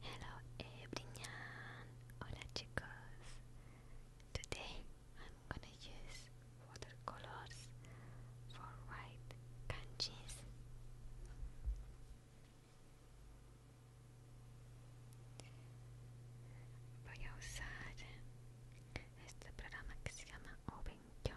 Hello everyone! Hola chicos! Today I'm gonna use watercolors for white kanjis. Voy a usar este programa que se llama Obenkyo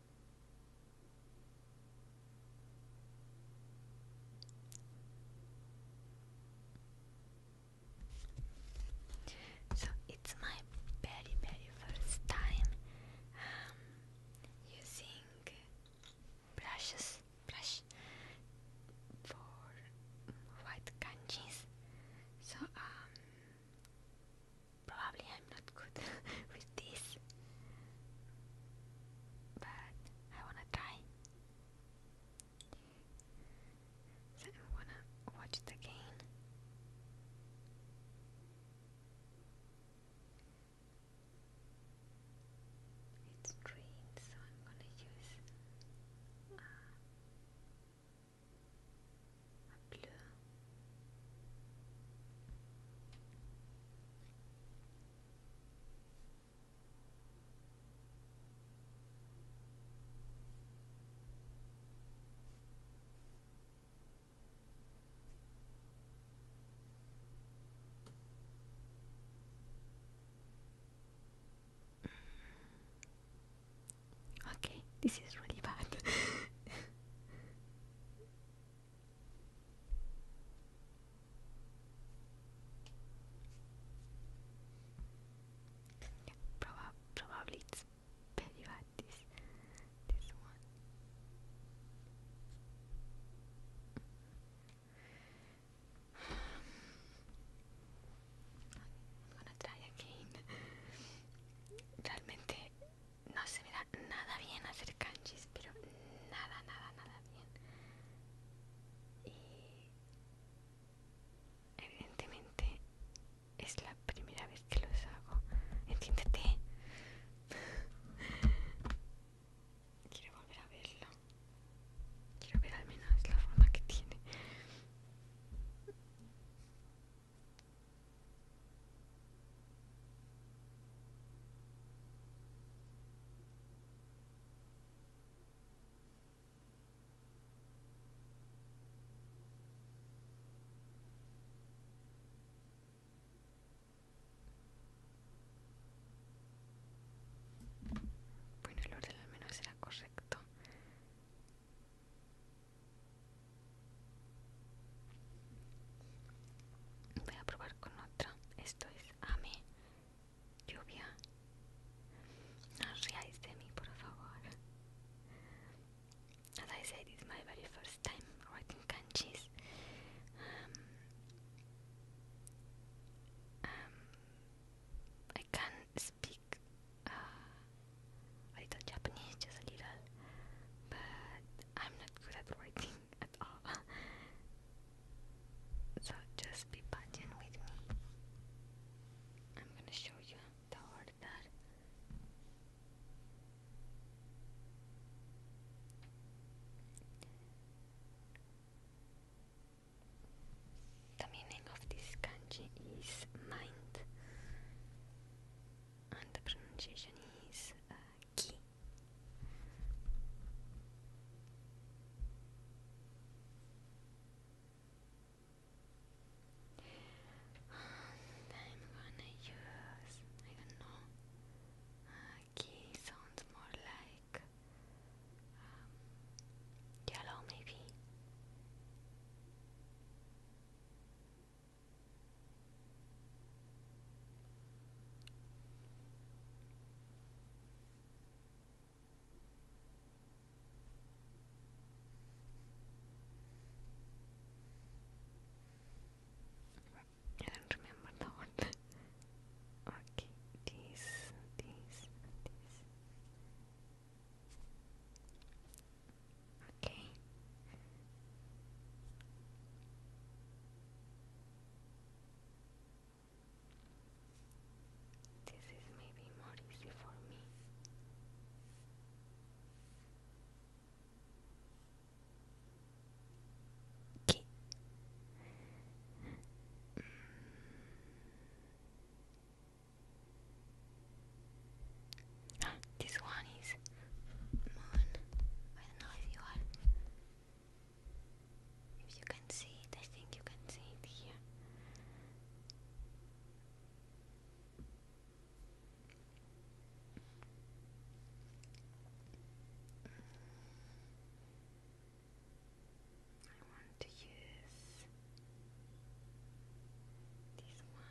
So it's my very very first time um, using brushes brush for white kanjis. So um Probably I'm not good with this, but I wanna try. So I wanna watch it again. It's green, so I'm gonna use uh, a blue. Okay, this is really bad. Probab probably it's better at this this one. I'm gonna try again. Realmente no se me da nada bien hacer kanjis, pero nada, nada, nada bien. Y evidentemente es la primera vez que los hago. Entiéndete. Quiero volver a verlo. Quiero ver al menos la forma que tiene. Bueno, el orden al menos era correcto voy a probar con otra esto es a lluvia no os de mí por favor as I said it's my very first time writing kanjis um, um I can't speak uh, a little Japanese, just a little, but I'm not good at writing. at all. So just be patient with me. I'm gonna show you the order. The meaning of this kanji is mind, and the pronunciation is uh, aqui. And I'm gonna use, I don't uh, know, aqui sounds more like um, yellow maybe. I do remember the okay, these, these, these. Okay. This is maybe more easy for me. Okay. Mm. Ah, this one is if you can see it, I think you can see it here. Mm. I want to use this one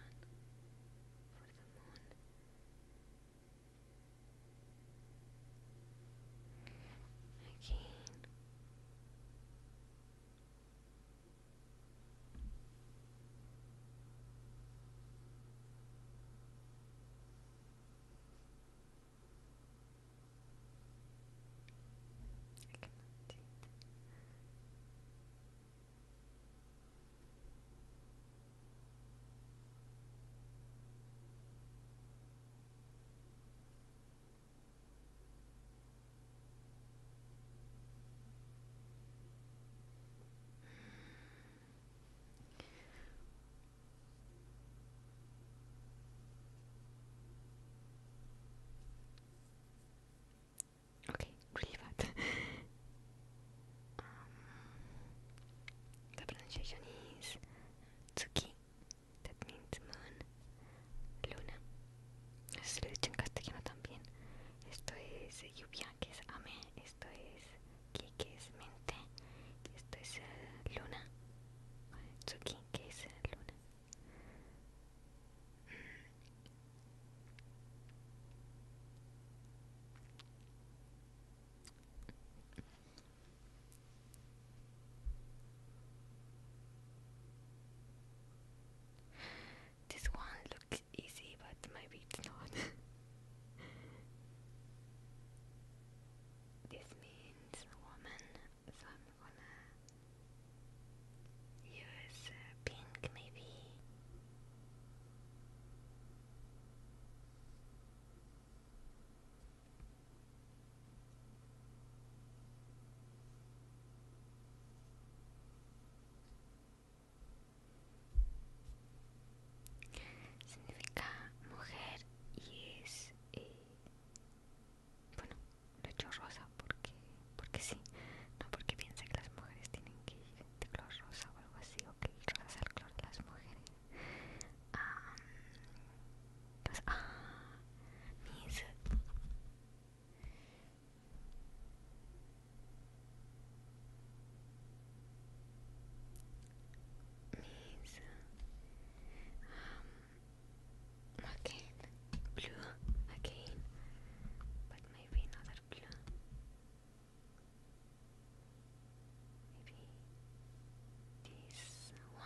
for the moon. Again. I Okay, really bad. Um, la pronunciación es is Tsuki, that means moon, luna. Eso lo he dicho en castellano también. Esto es lluvia, que es ame. Esto es ki, que es mente. Esto es eh, luna. Tsuki, que es eh, luna. This one looks easy, but maybe it's not. this means woman, so I'm gonna use uh, pink maybe. Significa mujer y es... Eh, bueno, lo he hecho rosa porque, porque sí, no porque piensa que las mujeres tienen que ir de color rosa o algo así, o que el rosa el color de las mujeres. Um, ah, um, again blue again but maybe another blue Maybe this one.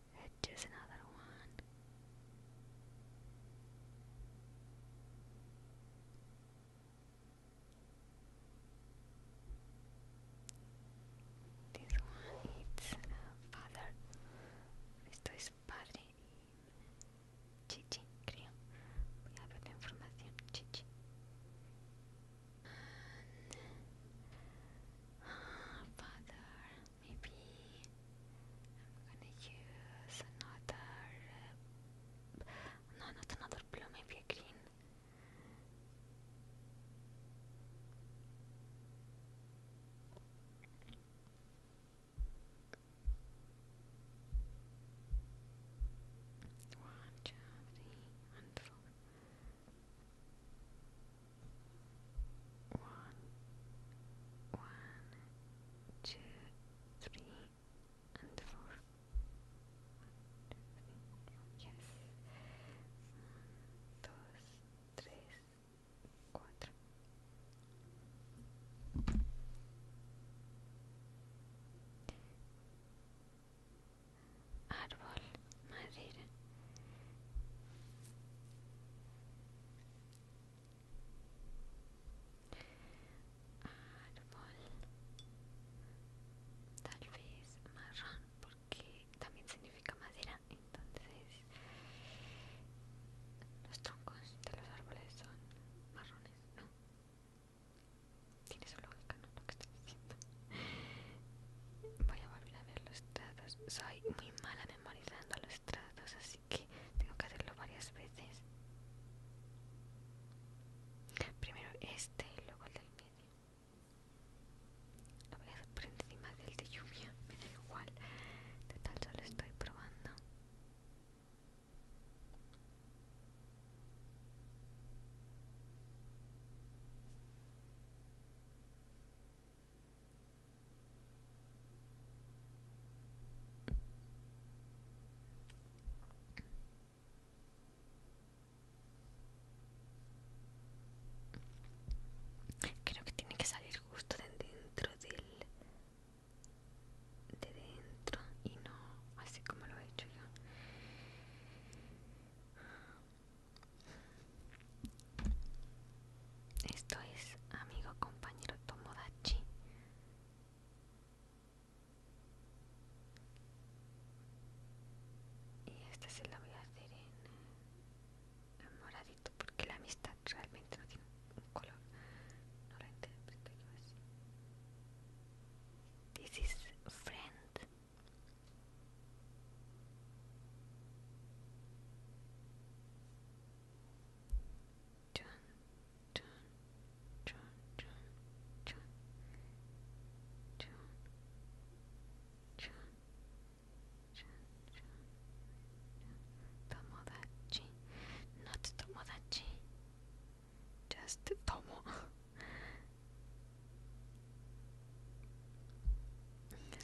It is another one. This one is uh, father. Esto es father. y chichi, creo. Voy a ver la información, chichi. Ah, father maybe I'm gonna use another uh, no not another blue maybe a green one, two, three, one, one, two, three, and four. One, two, three. Yes. One, dos, madera árbol tal vez marrón porque también significa madera entonces los troncos de los árboles son marrones no tiene su lógica no lo que estoy diciendo voy a volver a ver los dados soy muy mala de memorizando los tratos, así que tengo que hacerlo varias veces. Primero este y luego el del medio. Lo voy a hacer por encima del de lluvia, me da igual. de tal solo estoy probando. Creo que tiene que salir justo de dentro del... de dentro y no así como lo he hecho yo. Esto es amigo compañero Tomodachi. Y esta se la voy a hacer en, eh, moradito porque la amistad realmente no tiene un color. No la interpreto así. This is friend. Dun, dun, dun, dun, dun, dun, dun, dun, dun. Tomodachi, not Tomodachi, just Tomo.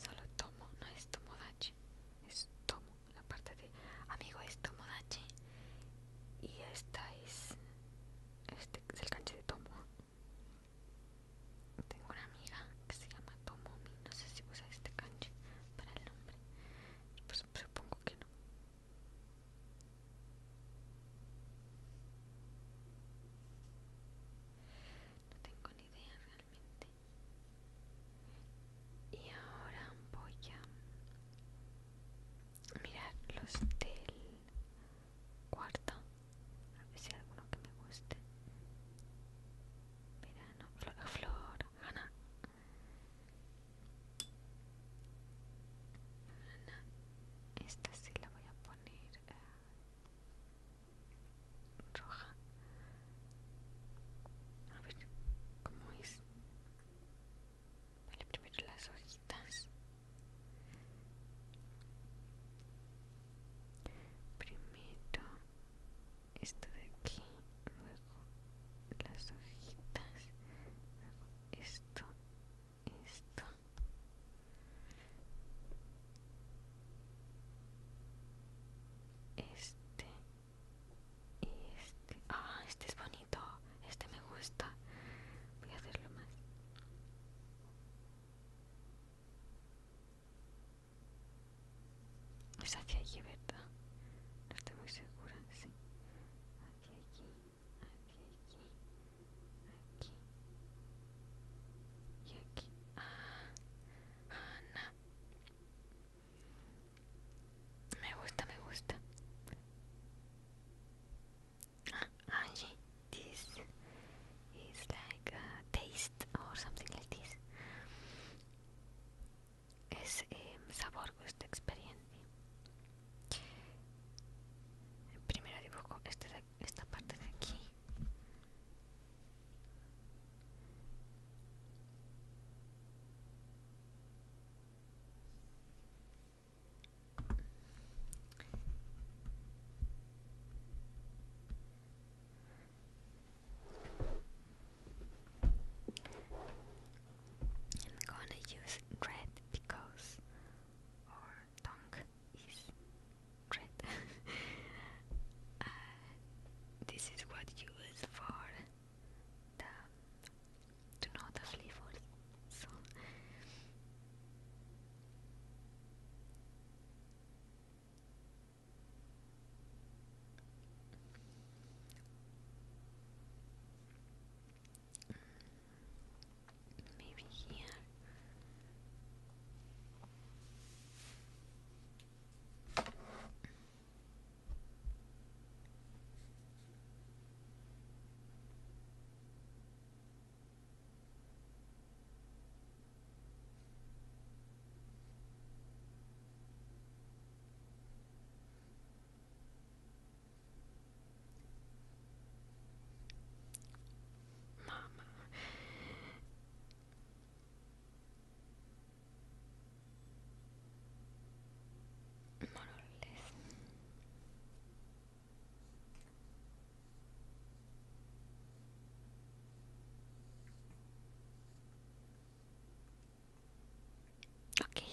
Solo Tomo, no es Tomodachi. es tomo la parte de amigo es Tomodachi y esta es este es el canche de tomo tengo una amiga que se llama Tomomi no sé si usa este canche para el nombre pues supongo que no no tengo ni idea realmente y ahora voy a mirar los del cuarto. A ver si hay alguno que me guste. Verano, flor, flor, Ana. Ana, esta sí la voy a poner. Eh, roja. A ver, ¿cómo es? Vale, primero las hojitas. Primero esto de aquí, luego las hojitas, luego esto, esto. Este. Y este. Ah, este es bonito. Este me gusta. Voy a hacerlo más. Es aquí allí, ¿verdad? No estoy muy segura, sí. Aquí, aquí, aquí, aquí, aquí. Y aquí. Ah, Ah, me gusta, me gusta. Ah, Angie, this is like a taste or something like this. Es eh, sabor, gusto, experiencia. Primero dibujo esta, esta parte de aquí I'm gonna use red because our tongue is red. Uh, this is what you use for the to know the maybe here. Mama. Okay,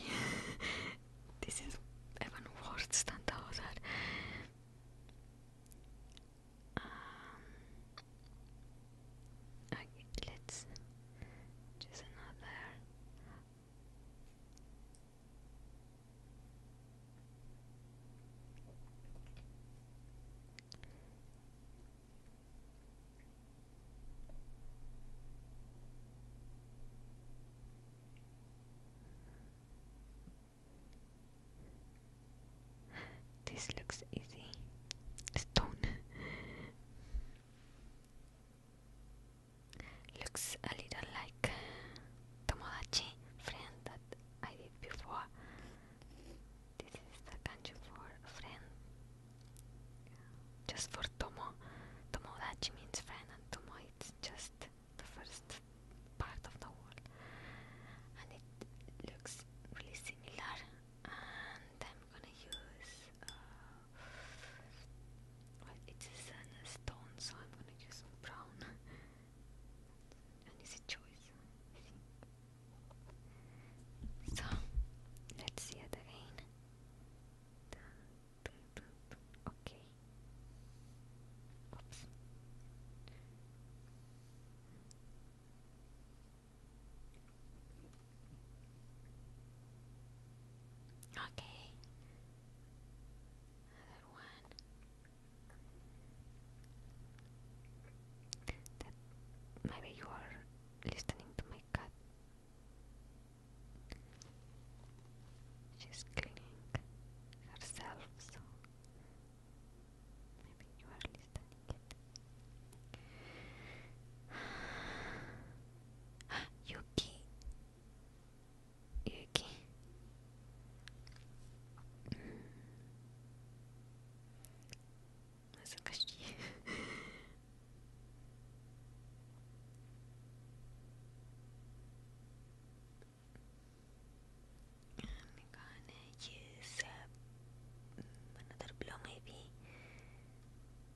this is even worse than that let's choose another. This looks easy. Stone. Looks a little like uh, Tomodachi friend that I did before. This is the kanji for friend. Just for Tomo. Tomodachi means friend and Tomo it's just the first part of the world, And it looks really similar I'm gonna use uh, it is a stone so I'm gonna use brown it's a choice so let's see it again okay Oops. Okay. Another one. That maybe you are listening to my cat. She's cleaning herself, so maybe you are listening. Yuki Yuki 難しい I'm gonna use uh, another blow maybe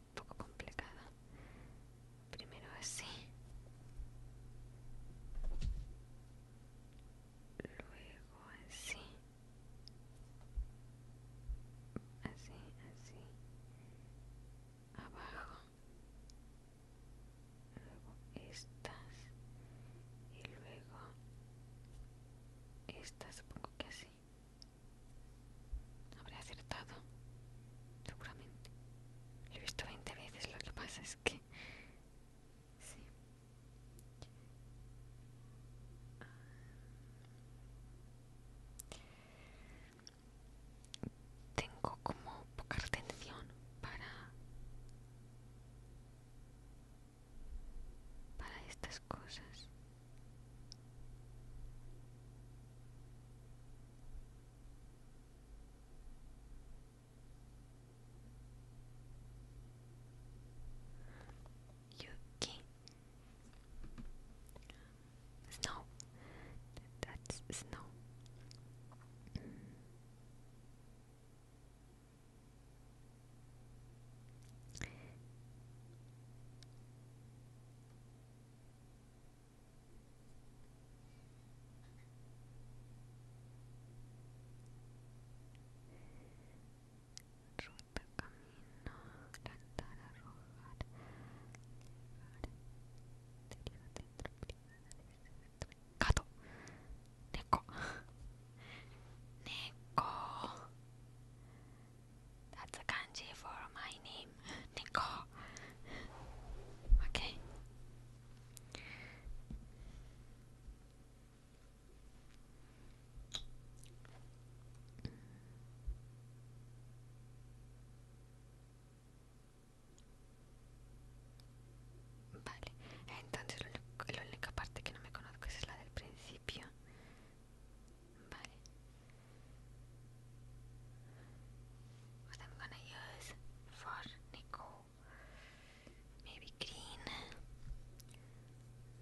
un poco complicada. Primero así. Luego así. Así, así. Abajo. Luego estas. Y luego estas, supongo que así. Habré acertado, seguramente. Lo he visto veinte veces, lo que pasa es que... Sí. Tengo como poca atención para... para estas cosas. Yuki Snow that's snow Ruta camino, plantara arrojar, llegar, dentro privada, Neko Neko That's a kanji for my name, Nico. Okay. Vale, entonces lo, lo, la única parte que no me conozco es la del principio what I'm gonna use for Nico, maybe green.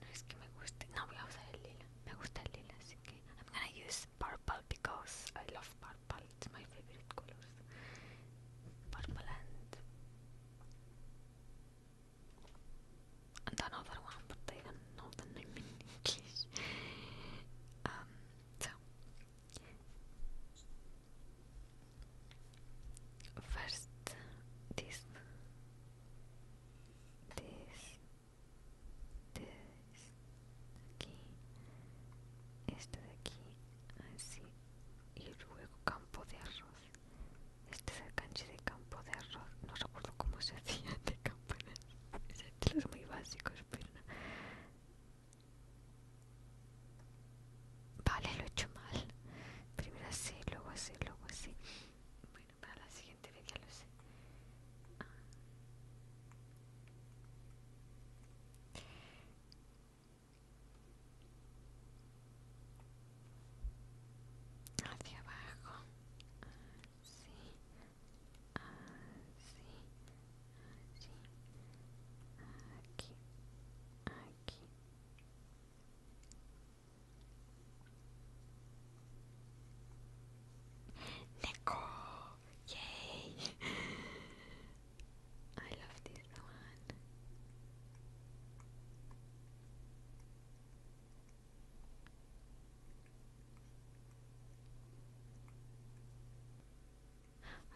No es que me guste, no I'm gonna use purple because I love purple. It's my favorite color. Purple and another one, but I don't in English. Um, so first, this, this, this, aquí, esto de aquí, así, y luego campo de arroz. Este es el canche de campo de arroz. No recuerdo cómo se hacía de campo de arroz. Este es muy básicos Vale, lo he hecho mal. Primero así, luego así, luego así. Bueno, para la siguiente vez ya lo sé. Ah. Hacia abajo, sí assim, assim, aqui, aqui. Neko! Yay! I love this one.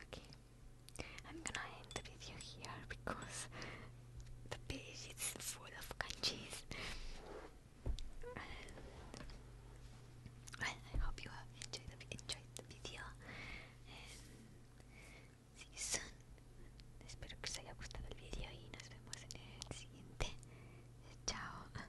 Okay, I'm gonna end the video here because the page is full of kanjis. I hope you have enjoyed enjoyed the video. And see you Espero que os haya gustado el video y nos vemos en el siguiente. Chao.